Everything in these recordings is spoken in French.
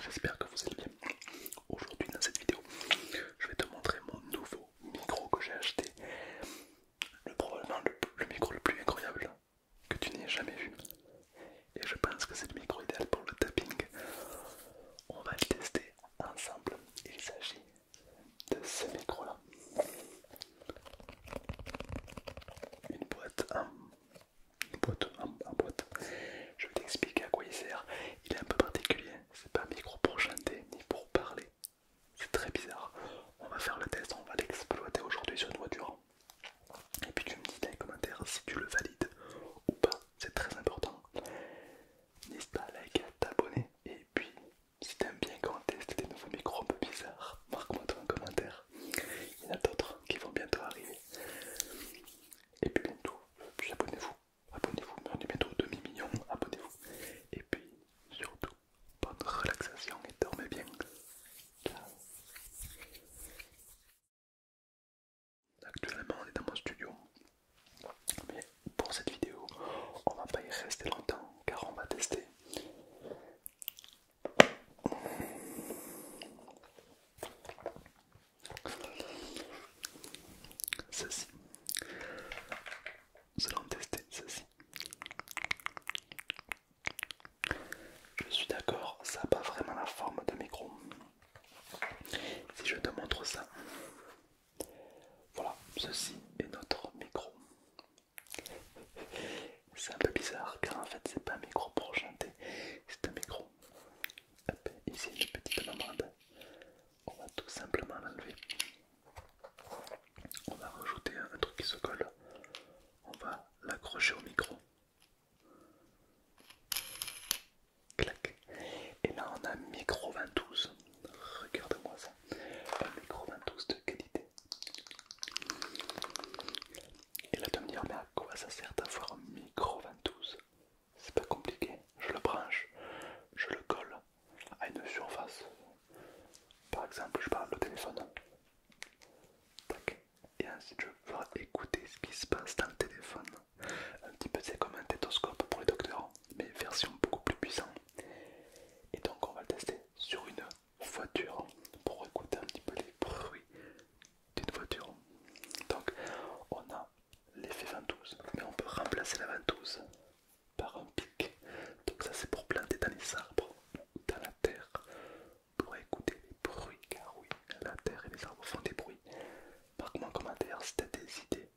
J'espère que vous allez bien. Aujourd'hui dans cette vidéo, je vais te montrer mon nouveau micro que j'ai acheté. Le, probablement le, le micro le plus incroyable que tu n'aies jamais vu. Et je pense que c'est le micro idéal pour le tapping. On va le tester ensemble. Il s'agit de ce micro là une boîte, un, boîte, boîte. Je vais t'expliquer à quoi il sert. Il est un peu particulier, c'est pas un micro pour chanter ni pour parler. C'est très bizarre. On va faire le test, on va l'exploiter aujourd'hui sur une voiture. Et puis tu me dis dans les commentaires si tu le valides ou pas, c'est très important. N'hésite pas à liker, t'abonner et puis si t'aimes bien quand on teste des nouveaux micros un peu bizarres, marque-moi dans un commentaire. Il y en a d'autres qui vont bientôt arriver. Et puis bientôt, abonnez-vous, abonnez-vous, on est bientôt demi-million, abonnez-vous. Et puis surtout, bonne relaxation et dormez bien. Ciao. Actuellement on est dans mon studio, mais pour cette vidéo on va pas y rester longtemps car on va tester Ceci. Nous tester ceci. Je suis d'accord, ça n'a pas vraiment la forme de micro. Si je te montre ça, voilà, ceci est notre micro. C'est un peu bizarre car en fait c'est pas un micro pour chanter, c'est un micro. ici une petite lamande, On va tout simplement l'enlever. On va rajouter un truc qui se colle. On va l'accrocher au micro. Clac. Et là on a un micro 22. regardez moi ça. Un micro 22 de qualité et là, de me dire, mais à quoi ça sert d'avoir un micro-ventouse C'est pas compliqué. Je le branche, je le colle à une surface. Par exemple, je parle au téléphone. Et ensuite, je vais écouter ce qui se passe dans le téléphone. Un petit peu, c'est comme un tétoscope pour les docteurs, mais version beaucoup plus puissante. Et donc, on va le tester sur une voiture pour écouter un petit peu les bruits d'une voiture. Donc on a l'effet ventouse, mais on peut remplacer la ventouse par un pic. Donc ça c'est pour planter dans les arbres ou dans la terre pour écouter les bruits car oui, la terre et les arbres font des bruits. par moi en commentaire si tu as des idées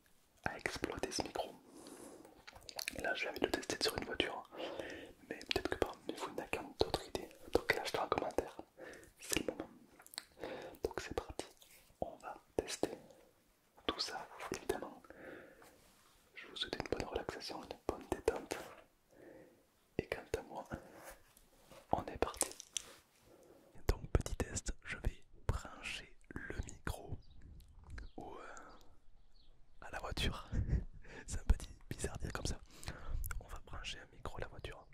à exploiter ce micro. Là, je vais de tester sur une voiture, mais peut-être que parmi vous n'avez qu'un d'autre idée, donc lâchez-le en commentaire, c'est le moment. Donc c'est parti, on va tester tout ça évidemment. Je vous souhaite une bonne relaxation, une bonne détente. Et quant à moi, on est parti. Donc petit test, je vais brancher le micro euh, à la voiture. C'est un petit bizarre dire comme ça. On va brancher un micro à la voiture.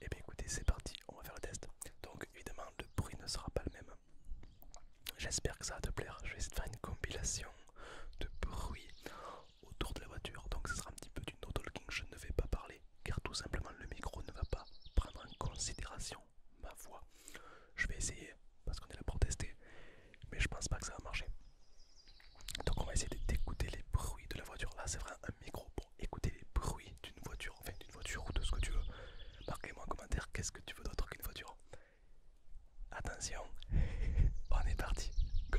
Et eh bien écoutez, c'est parti, on va faire le test. Donc évidemment, le bruit ne sera pas le même. J'espère que ça va te plaire. Je vais essayer de faire une compilation de bruit autour de la voiture. Donc ce sera un petit peu du no-talking. Je ne vais pas parler car tout simplement le micro ne va pas prendre en considération ma voix. Je vais essayer parce qu'on est là pour tester, mais je pense pas que ça va marcher. Donc on va essayer d'écouter les bruits de la voiture. Là c'est vraiment un micro pour écouter les bruits d'une voiture, enfin d'une voiture ou de ce que tu veux. Marquez-moi en commentaire qu'est-ce que tu veux d'autre qu'une voiture. Attention, on est parti, go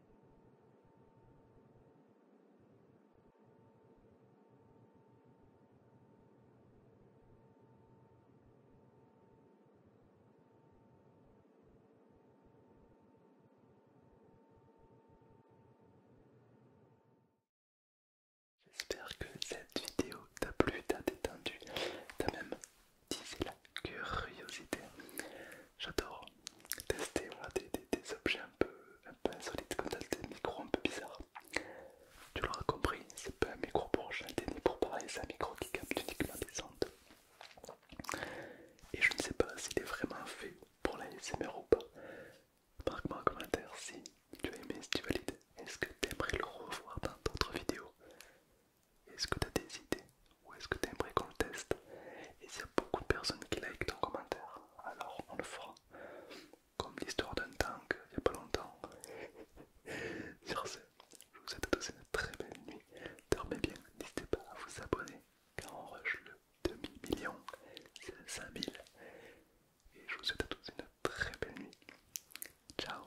J'espère que cette vidéo t'a plu, t'a détendu, t'a même tissé la curiosité. J'adore tester des, objets un peu, peu insolites comme ça, des micros un peu bizarres. Tu l'auras compris, c'est pas un micro pour chanter ni pour parler, c'est un micro qui capte uniquement des ondes. Et je ne sais pas s'il est vraiment fait pour la SMR ou pas. Marque-moi en commentaire si tu as aimé, si tu valides. Est-ce que tu aimerais le revoir dans d'autres vidéos Est-ce que tu as des idées ou est-ce que tu qu'on le teste Et s'il y a beaucoup de personnes qui likent ton commentaire, alors on le fera. Comme l'histoire d'un tank il n'y a pas longtemps. Sur ce, je vous souhaite à tous une très belle nuit. Dormez bien, n'hésitez pas à vous abonner car on rush le demi millions, c'est le 5000. Et je vous souhaite à tous une très belle nuit. Ciao